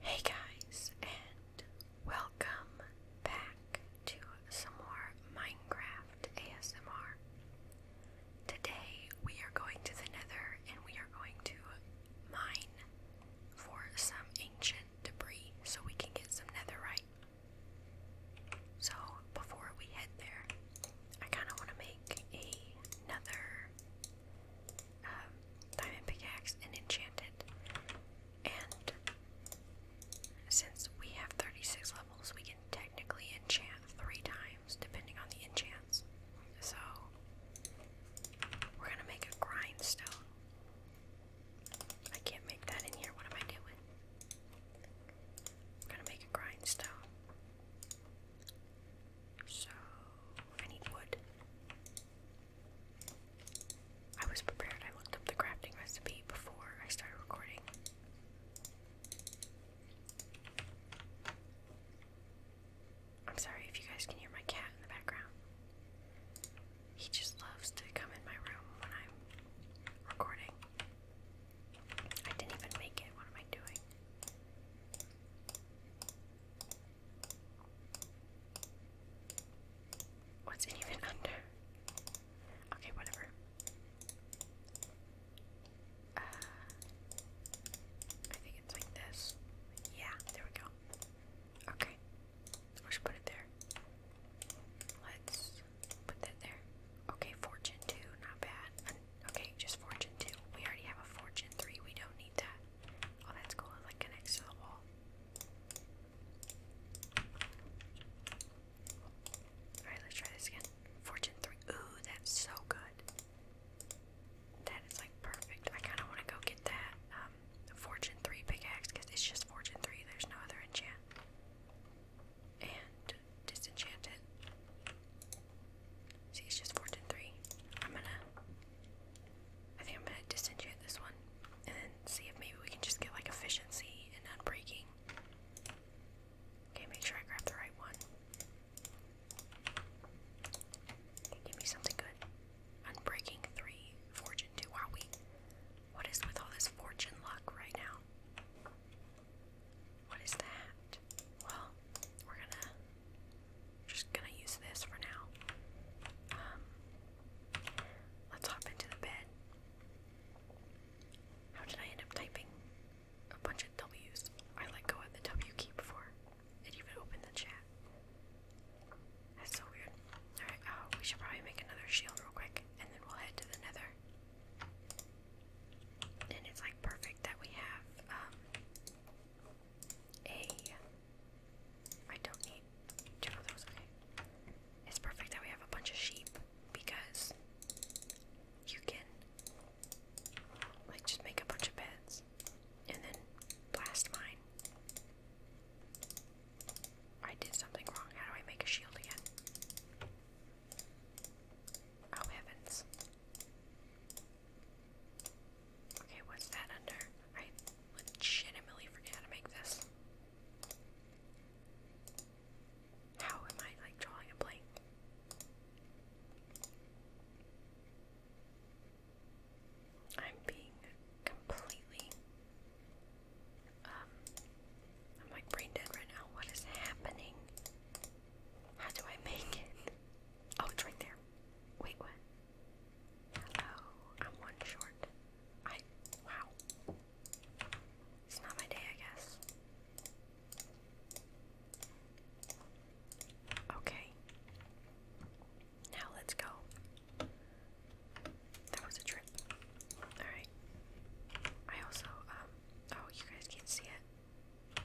Hey guys, and welcome back to some more Minecraft ASMR. Today we are going to the Nether and we are going to mine for some ancient debris so we can get some netherite. So before we head there, I kind of want to make another um, diamond pickaxe and enchanted. And since we have 36 levels, we can technically enchant three times depending on the enchant. So we're gonna make a grindstone. I can't make that in here. What am I doing? I'm gonna make a grindstone. So I need wood. I was prepared. I looked up the crafting recipe before I started recording. I'm sorry if you guys can hear my cat in the background. He just loves to come in my room when I'm recording. I didn't even make it. What am I doing? What's it even under? Okay, whatever. Uh, I think it's like this. Yeah, there we go. Okay, we should put it there. Let's put that there. Okay, fortune two, not bad. Okay, just fortune two. We already have a fortune three. We don't need that. Oh, that's cool. It like connects to the wall. Alright, let's try this again. Fortune 3. Ooh, that's so good. That is like perfect. I kind of want to go get that um, Fortune 3 pickaxe because it's just Fortune 3. There's no other enchant. And disenchant it. See, it's just Fortune 3. I'm gonna I think I'm gonna disenchant this one and see if maybe we can just get like efficiency and unbreaking. Okay, make sure I grab the right one. give me something good. Unbreaking three, fortune two. Wow, we. What is with all this fortune luck right now? What is that? Well, we're gonna just gonna use this for now. Um, Let's hop into the bed. How did I end up typing a bunch of W's? I let go of the W key before it even opened the chat. That's so weird. Alright, oh, we should probably make another shield real quick, and then we'll head to the nether. And it's like perfect that we have um, a. I don't need two of okay. It's perfect that we have a bunch of sheep because you can like just make a bunch of beds and then blast mine. I did something wrong. How do I make a shield again? Oh heavens. Okay, what's that under? I legitimately forget how to make this. How am I like drawing a blank? I'm being completely um I'm like brain dead right now. What is happening? How do I make it? Oh, it's right there. Wait, what? Oh, I'm one short. I. Wow. It's not my day, I guess. Okay. Now let's go. That was a trip. Alright. I also, um, oh, you guys can't see it.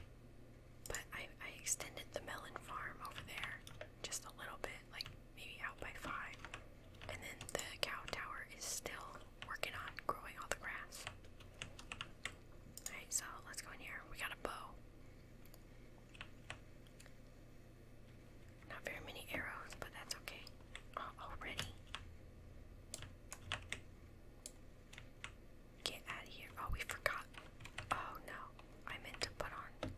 But I, I extended the melon farm over there just a little bit, like maybe out by five. And then the cow tower is still working on growing all the grass. Alright, so let's go in here. We got a bow. Not very many arrows, but that's okay. Oh, already. Get out of here. Oh, we forgot. Oh no. I meant to put on.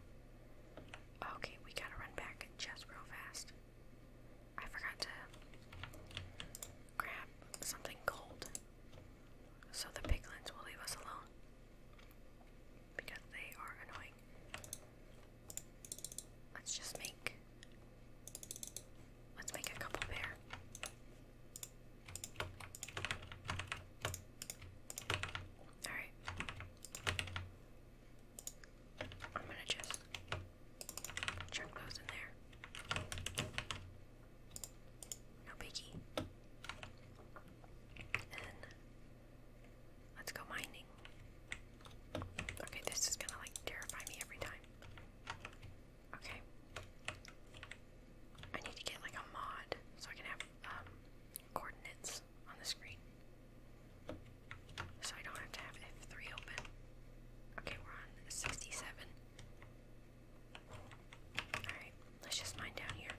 Okay, we gotta run back. Just real fast. I forgot to grab something gold. So the piglins will leave us alone. Because they are annoying. Let's just make let's make a couple there. Alright. I'm gonna just chuck those in there. No biggie. And let's go mining. Okay, this is gonna like terrify me every time. Okay. I need to get like a mod so I can have um coordinates on the screen. So I don't have to have F3 open. Okay, we're on 67. Alright, let's just mine down here.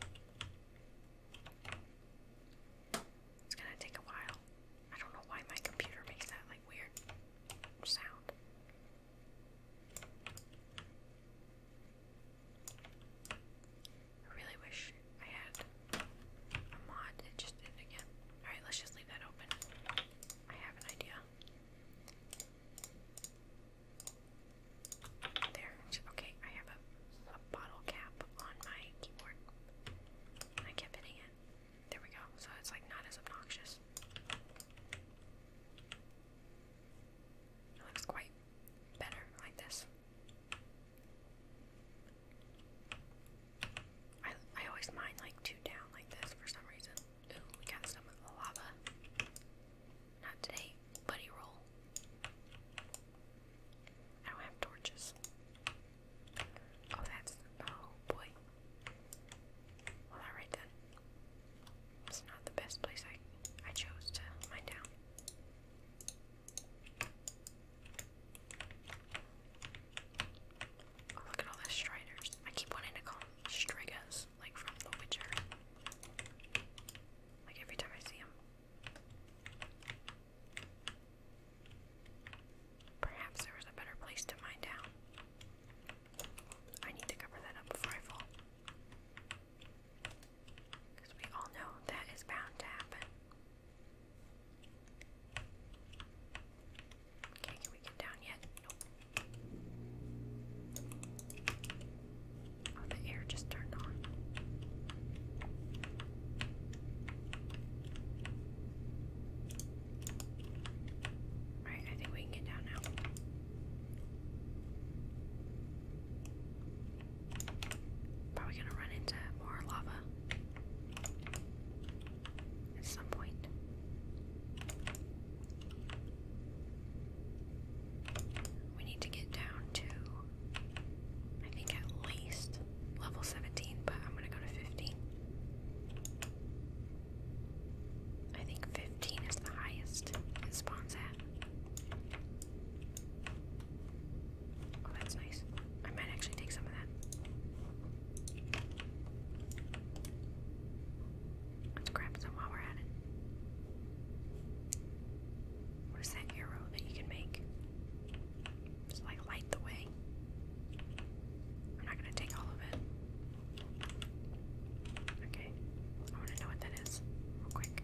It's gonna take a while. I don't know why my computer makes that like weird sound. I really wish I had a mod. It just did again. Alright, let's just leave that open. I have an idea. There. Okay, I have a, a bottle cap on my keyboard. I kept hitting it. There we go. So it's like not as obnoxious. It looks quite better like this. I I always mine like two down like this for some reason. Ooh, we got some of the lava. Not today, buddy roll. I don't have torches. Oh that's oh boy. Well alright then. It's not the best place I I chose to mine down look at all the striders. I keep wanting to call them strigas, like from The Witcher. Like every time I see them. Perhaps there was a better place to mine down. I need to cover that up before I fall. Because we all know that is bound to happen. Okay, can we get down yet? Oh, the air just turned on. Alright, I think we can get down now. Probably gonna run into more lava at some point. We need to get down to, I think, at least level 17, but I'm going to go to 15. I think 15 is the highest it spawns at. Oh, that's nice. I might actually take some of that. Let's grab some while we're at it. What is that arrow that you can make? Just like light the way. I'm not gonna take all of it. Okay. I wanna know what that is real quick.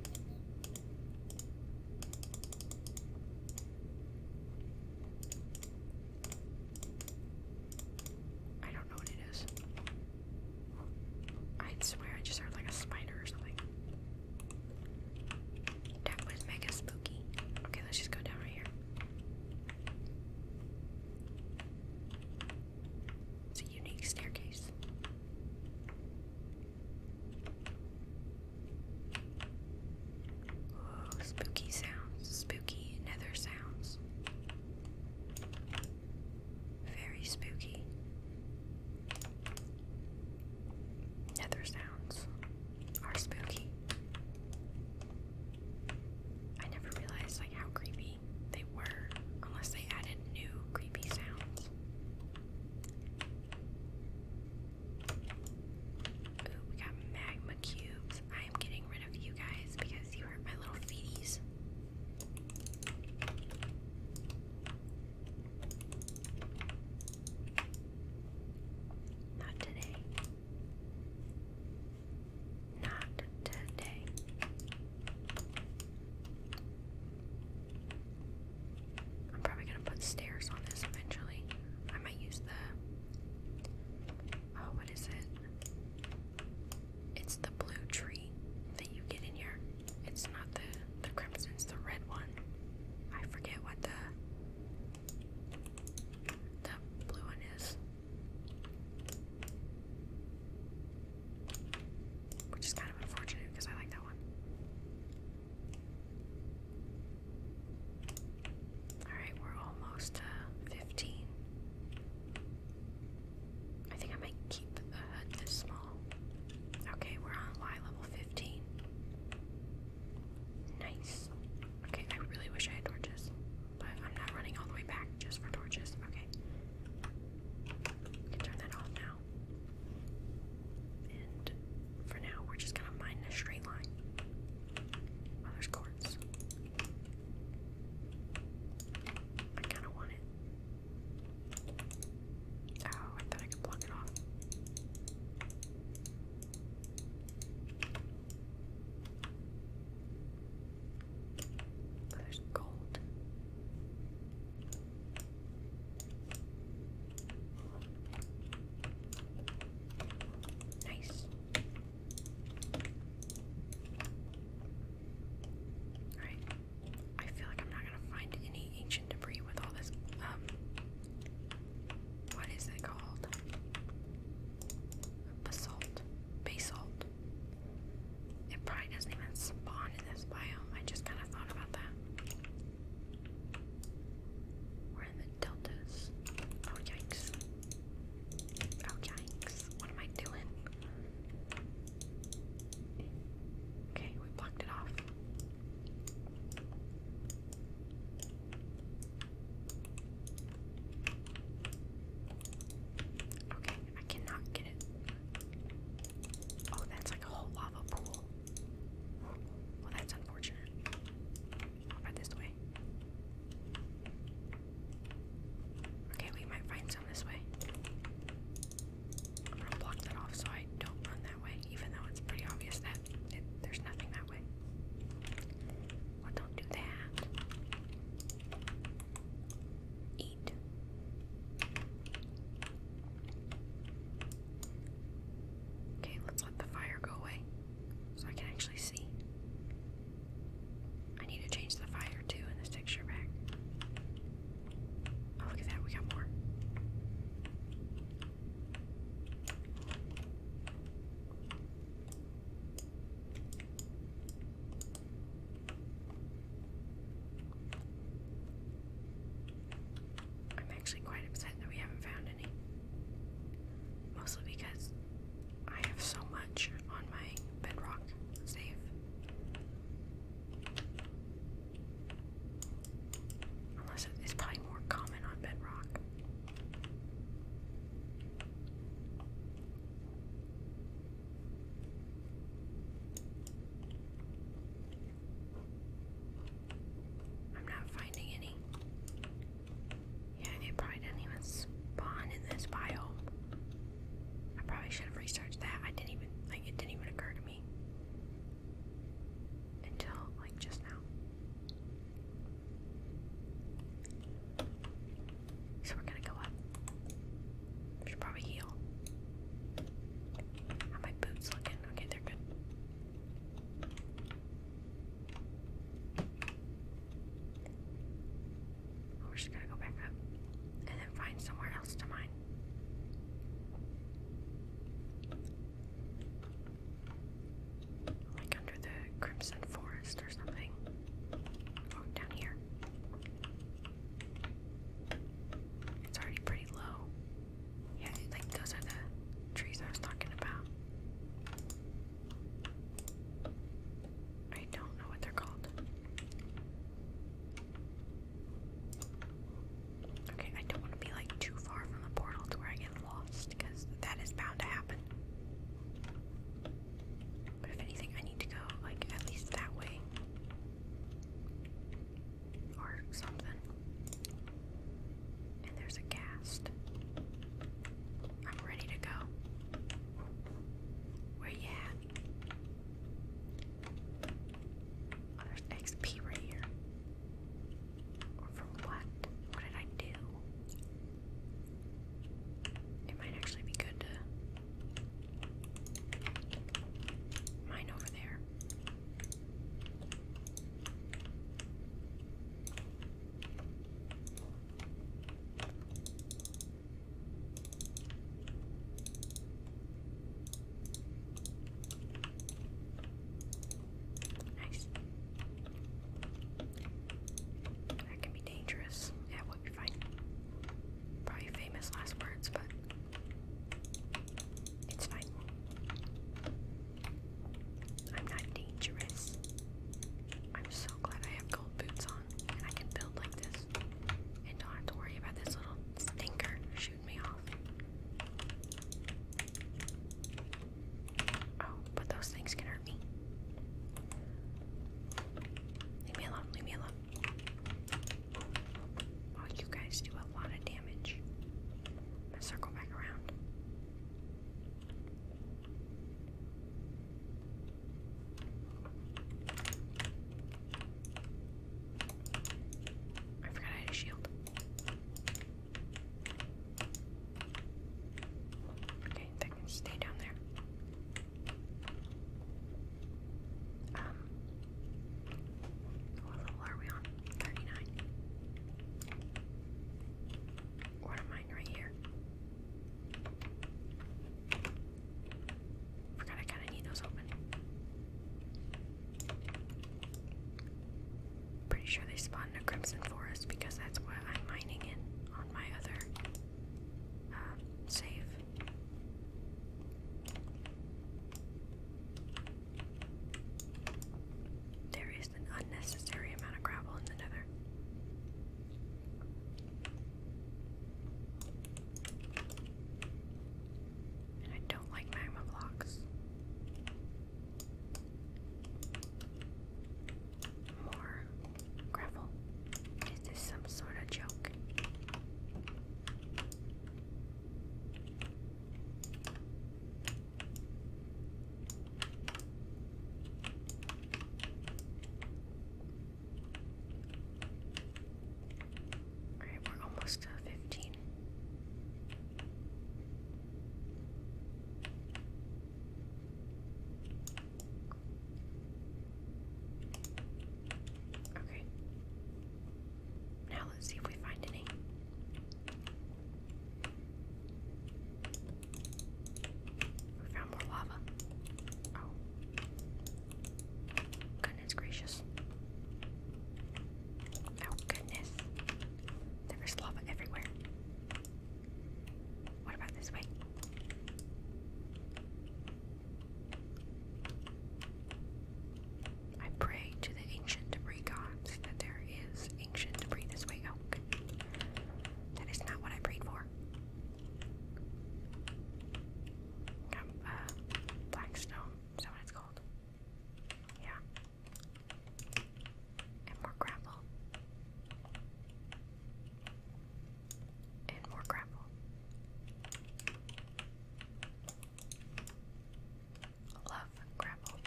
I don't know what it is. I swear I just heard like a spider or something. That mega spooky. Okay, let's just go down right here. It's a unique staircase spooky sounds, spooky nether sounds. Very spooky. Nether sounds are spooky. I never realized like how creepy they were unless they added new creepy sounds we got magma cubes. I am getting rid of you guys because you hurt my little feedies. Not today. Not today. I'm probably gonna put stairs on this eventually. I might use the oh what is it? It's the blue tree that you get in here. It's not the the crimson, it's the red one. I forget what the the blue one is. Which is kind of unfortunate because I like that one. Alright, we're almost 15. I think I might keep the HUD this small. Okay, we're on Y level 15. Nice. Okay, I really wish I had torches, but I'm not running all the way back just for torches. Okay. turn that off now. And for now, we're just gonna mine a straight line. Oh, there's quartz. I kind of want it. Oh, I thought I could block it off. Oh, there's gold. Nice. Alright. I feel like I'm not gonna find any ancient debris with all this um what is it called? Basalt. Basalt. It probably doesn't even spawn in this biome. I just kinda thought about that. We're in the deltas. Oh yikes. Oh yikes. What am I doing? Okay, we blocked it off. Okay, I cannot get it. Oh, that's like a whole lava pool. Well, that's unfortunate. Or this way. Okay, we might find some this way. I'm going that off so I don't run that way, even though it's pretty obvious that there's nothing that way. Well, don't do that. Eat. Okay, let's let the fire go away so I can actually see. I need to change the fire too in this texture pack. Oh, look at that, we got more. I'm actually quite upset that we haven't found any. Mostly because I have so much on my bedrock save. Unless it's probably more common on bedrock. I'm not finding any. Yeah, it probably doesn't even spawn in this biome. I probably should have researched that. I didn't even, like, it didn't even occur to me. Until, like, just now. So we're gonna go up. should probably heal. How my boots looking? Okay, they're good. We're just gonna go back up and then find somewhere else to mine. Like under the Crimson Forest or something. Oh, down here. It's already pretty low. Yeah, like those are the trees I was talking about. I don't know what they're called. Okay, I don't want to be like too far from the portal to where I get lost because that is bound to happen. But if anything, I need to go like at least that way or something and there's a cast. I'm ready to go. Where you at? Oh, there's XP right here. for what? What did I do? It might actually be good to mine over there. Nice. That can be dangerous. Yeah, we'll be fine. Probably famous last words, but it's fine. I'm not dangerous. I'm so glad I have gold boots on and I can build like this and don't have to worry about this little stinker shooting me off. Oh, but those things can hurt me. Leave me alone, leave me alone. Oh, you guys do a lot of damage. i circle back around. I forgot I had a shield. Okay, that can stay down there. Um, what level are we on? 39. What am I right here? Forgot I kind of need those open. Pretty sure they spawn in a crimson forest because that's what I'm mining it on my other um, save. There is an unnecessary amount of gravel in the nether. I don't like magma blocks. More gravel. Is this some sort of joke? Alright, we're almost to fifteen. Okay. Now let's see if we find any. We found more lava. Oh. Goodness gracious. Oh, goodness. There is lava everywhere. What about this way? I pray to the ancient debris gods that there is ancient debris this way. Oh, that is not what I prayed for. Um, uh, is that what it's called? Yeah. And more grapple. And more grapple. Love grapple.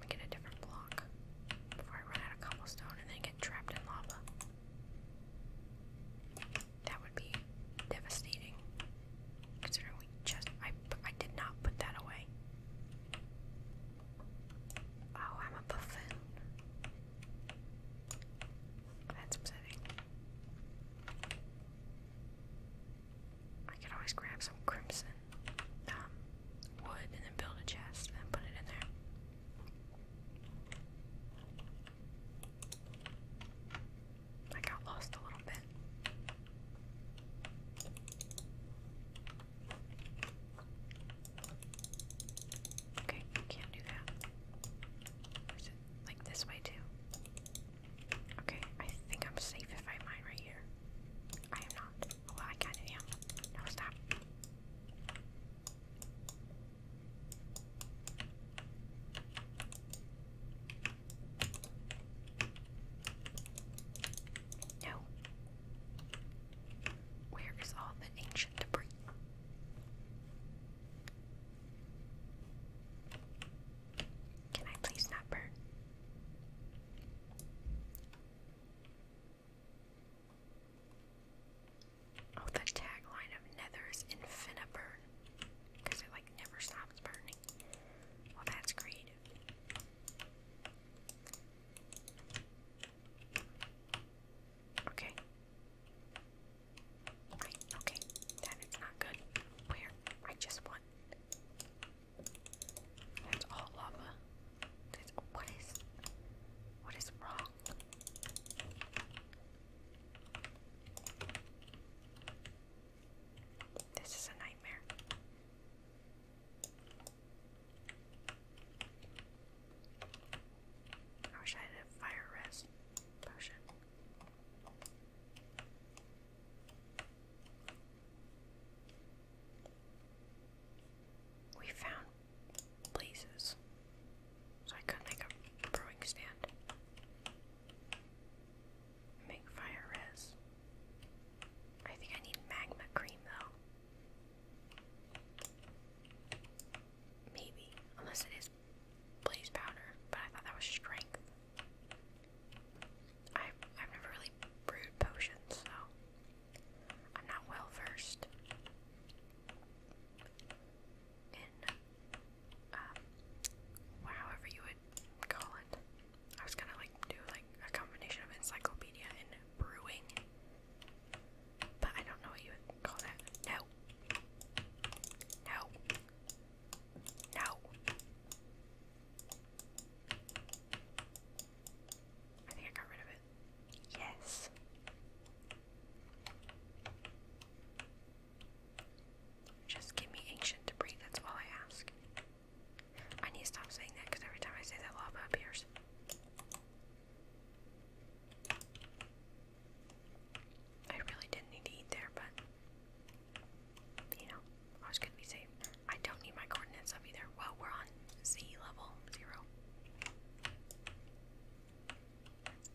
Let get a different block before I run out of cobblestone and then get trapped in lava. That would be devastating. Considering we just I did not put that away. Oh, I'm a buffin. That's upsetting. I could always grab some crimson um, wood and then build a chest and then put it in there. I got lost a little bit. Okay, can't do that. Is like this way too? Okay, I think I'm safe if I mine right here. I am not. Oh, well, I kind of am. No, stop. No. Where is all the ancient debris? Can I please not Oh, the tagline of Nether is Infiniburn. Because it, like, never stops burning. Well, that's creative. Okay. okay. That is not good. Where? I just want. That's all lava. what is. What is raw this is a nightmare. I wish I had a fire res potion. We found places. So I could make a brewing stand. Make fire res. I think I need magma cream though. Maybe. Unless it is blaze powder, but I thought that was strength. i I've never really brewed potions, so I'm not well versed in, um, well, you would call it. I was gonna like do like a combination of encyclopedia and brewing, but I don't know what you would call that. No. No. No. I think I got rid of it. Yes. Just give me ancient to that's all I ask. I need to stop saying that because every time I say that, lava appears. I really didn't need to eat there, but you know, I was gonna be safe. I don't need my coordinates up either. Well, we're on Z level zero.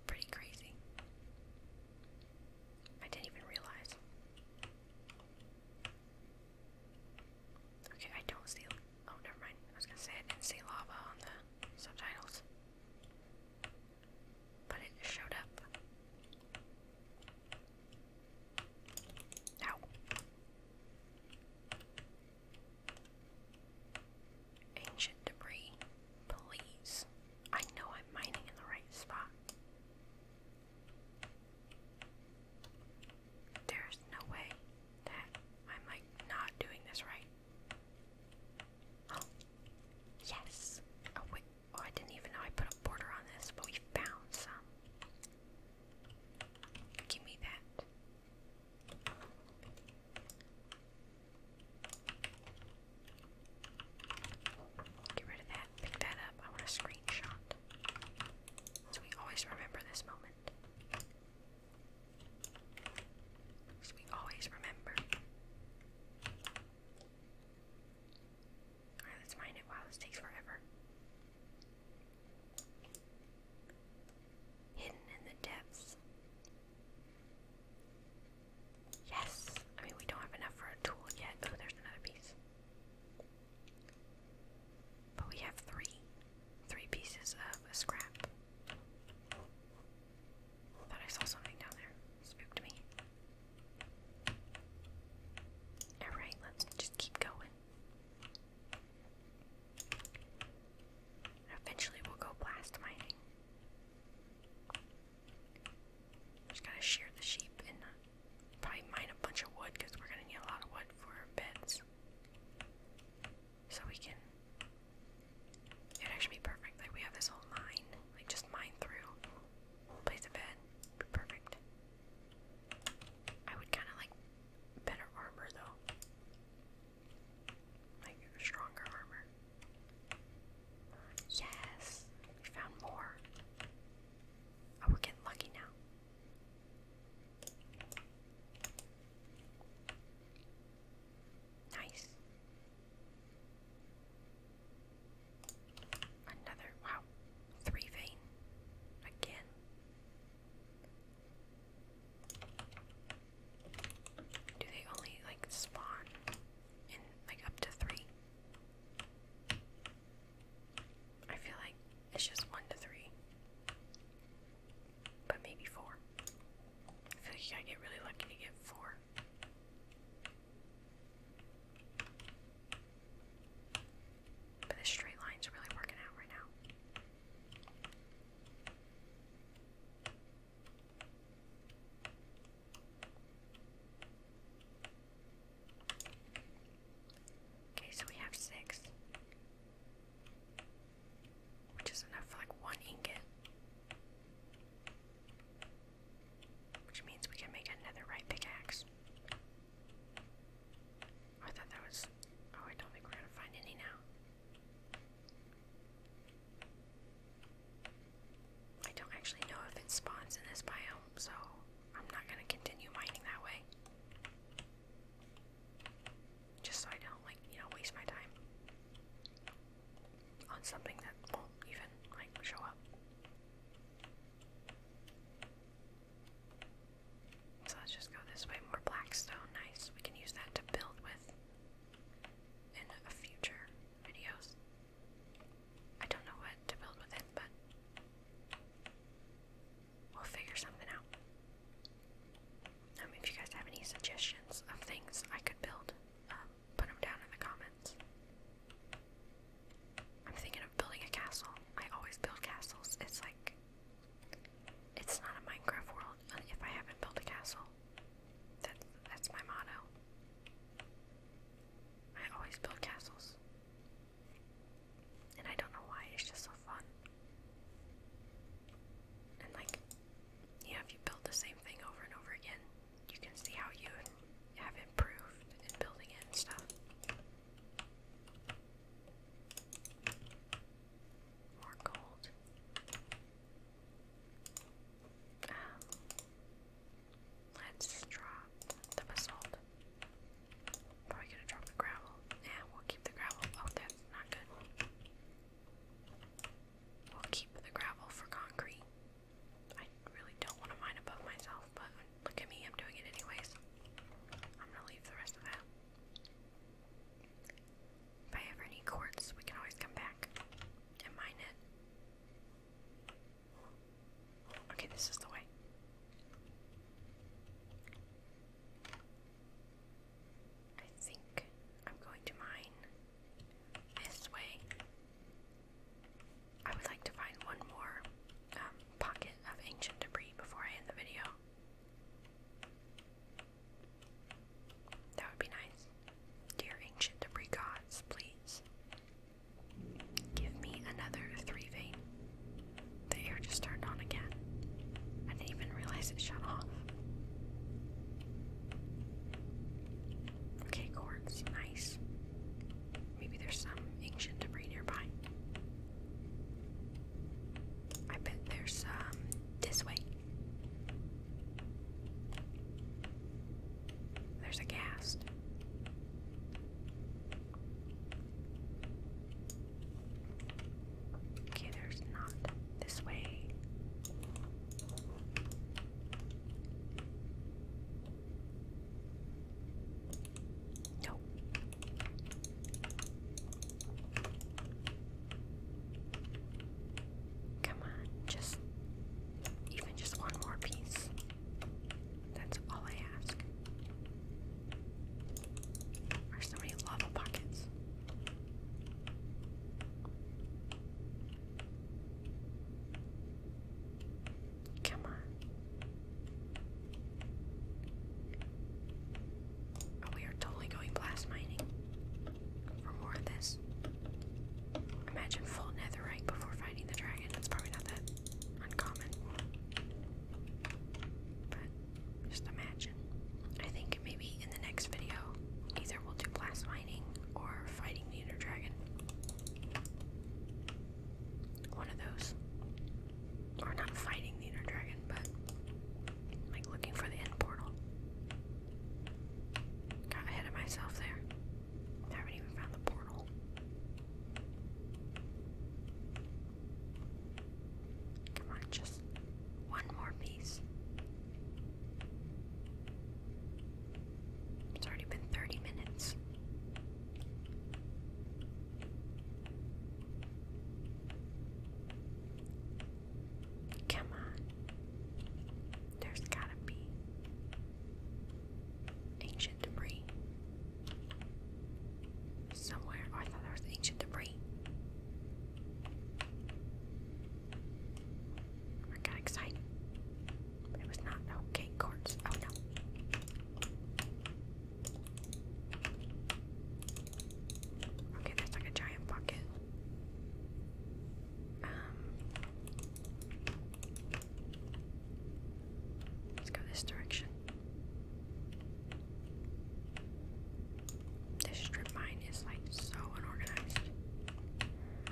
Pretty crazy. I didn't even realize. Okay, I don't see. Oh, never mind. I was gonna say I didn't see lava on the subtitles, but it showed up. Ow. Ancient debris, please. I know I'm mining in the right spot. There's no way that I'm like not doing this right. Oh, yes. Oh wait. Oh, I didn't even know I put a border on this, but we found some. Give me that. Get rid of that, pick that up. I want a screenshot. So we always remember this moment. So we always remember. Alright, let's mine it. Wow, this takes forever. Hidden in the depths Yes! I mean, we don't have enough for a tool yet. Oh, there's another piece. But we have three. Three pieces of scrap. Thought I saw something down there. Spooked me. Alright, let's just keep going. Eventually we'll go blast mining. Just gotta shear the sheep and probably mine a bunch of wood because we're gonna need a lot of wood for beds. So we can. It would actually be perfect. Like we have this whole mine, like just mine through, place a bed, be perfect. I would kind of like better armor though. Like stronger armor. Yes! We found more. Oh, we're getting lucky now. Nice. Another wow. Three vein. Again. Do they only like spawn in like up to three? I feel like it's just one to three. But maybe four. I feel like you gotta get really lucky to get four. But the straight line's really working out right now. Okay, so we have six. Which is enough for like one ingot. Which means we can make another right pickaxe. I thought that was. Oh, I don't think we're gonna find any now. I don't actually know if it spawns in this biome, so I'm not going to continue mining that way. Just so I don't, like, you know, waste my time on something that won't even, like, show up. So let's just go this way. More blackstone. Nice. We can use that to build with in future videos. I don't know what to build with it, but we'll figure something out. Um, if you guys have any suggestions of things I could build, um, put them down in the comments. I'm thinking of building a castle. I always build castles. It's like, it's not a Minecraft world uh, if I haven't built a castle. That, that's my motto. I always build castles. And I don't know why, it's just so fun. And like, you know, if you build the same thing over and over again, you can see how you have improved in building it and stuff. More gold. Um, let's drop the basalt. Probably gonna drop the gravel. Yeah, we'll keep the gravel. Oh, that's not good. We'll keep the gravel for concrete. I really don't want to mine above myself, but look at me, I'm doing it anyways. I'm gonna leave the rest of that. If I ever need quartz, we can always come back and mine it. Okay, this is the way. I think I'm going to mine this way. I would like to find one more um, pocket of ancient debris before I end the video. That would be nice. Dear ancient debris gods, please. Give me another three vein. The air just turned on again. I didn't even realize it shut off. Okay, quartz, nice. Maybe there's some ancient debris nearby. I bet there's um, this way. There's a ghast. Okay, there's not this way. Nope. Come on, just even just one more piece. That's all I ask. Are so many lava pockets? Come on. Oh, we are totally going blast mining for more of this. Imagine full netherite before fighting the dragon. That's probably not that uncommon. But just imagine. I think maybe in the next video, either we'll do blast mining or fighting the inner dragon. One of those. Or not fighting the inner dragon, but like looking for the end portal. Got ahead of myself there. I haven't even found the portal. Come on, just one more piece. It's already been 30 minutes. Come on. There's gotta be ancient debris somewhere. Oh, I thought there was ancient debris. I got excited. it was not. Okay, quartz. Oh no. Okay, that's like a giant bucket. Um, let's go this direction. This strip mine is like so unorganized.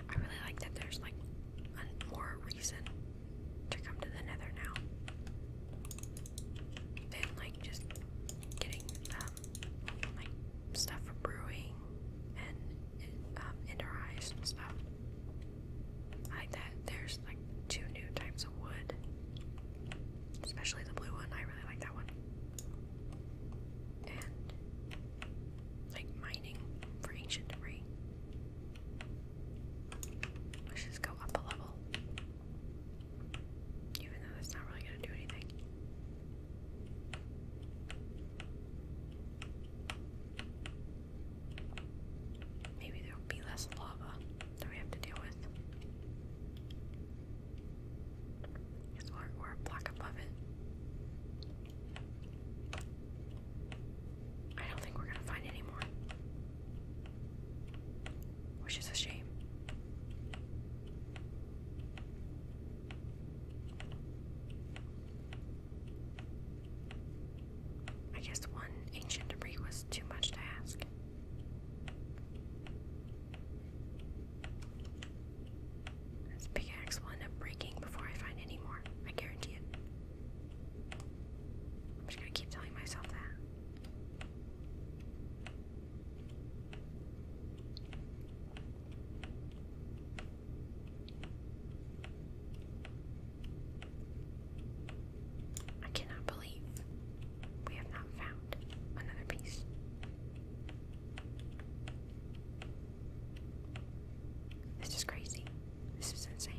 I really like that there's like a more reason to come to the nether now than like just getting stuff for brewing and um, inner eyes and stuff like that. There's like two new types of wood, especially the blue one. I really like that one. And like mining for ancient debris. Let's just go up a level. Even though that's not really gonna do anything. Maybe there will be less lava that we have to deal with. Because we're, we're block above it. I don't think we're going to find any more. Which is a shame. I guess one ancient debris was too much to ask. This big will end up breaking before I find any more. I guarantee it. I'm just gonna keep telling myself that. I cannot believe we have not found another piece. This is crazy. This is insane.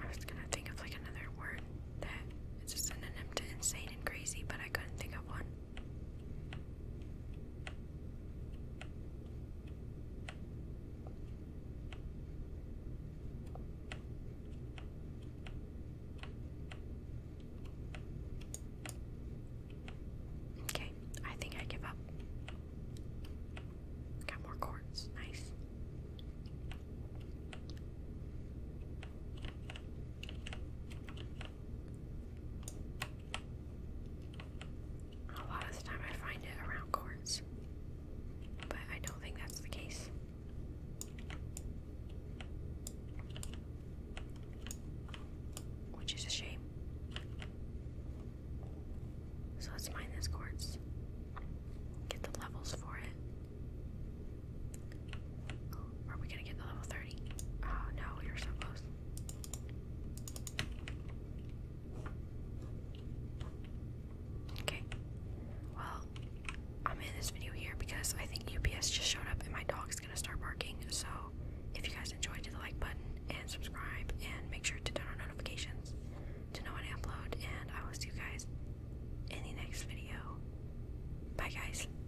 I was gonna think of like another word that is a synonym to insane and crazy, but I couldn't think of one. Okay, I think I give up. Got more cords. Nice. A lot of the time I find it around cords, but I don't think that's the case. Which is a shame. So let's mine this quartz. Get the levels for it. Are we gonna get to level 30? Oh ah, no, you're so close. Okay. Well, I'm in this video here because I think UPS just showed up and my dog's gonna start barking. So if you guys enjoyed, hit the like button and subscribe and make sure to turn on notifications to know when I upload. And I will see you guys in the next video. Bye, guys.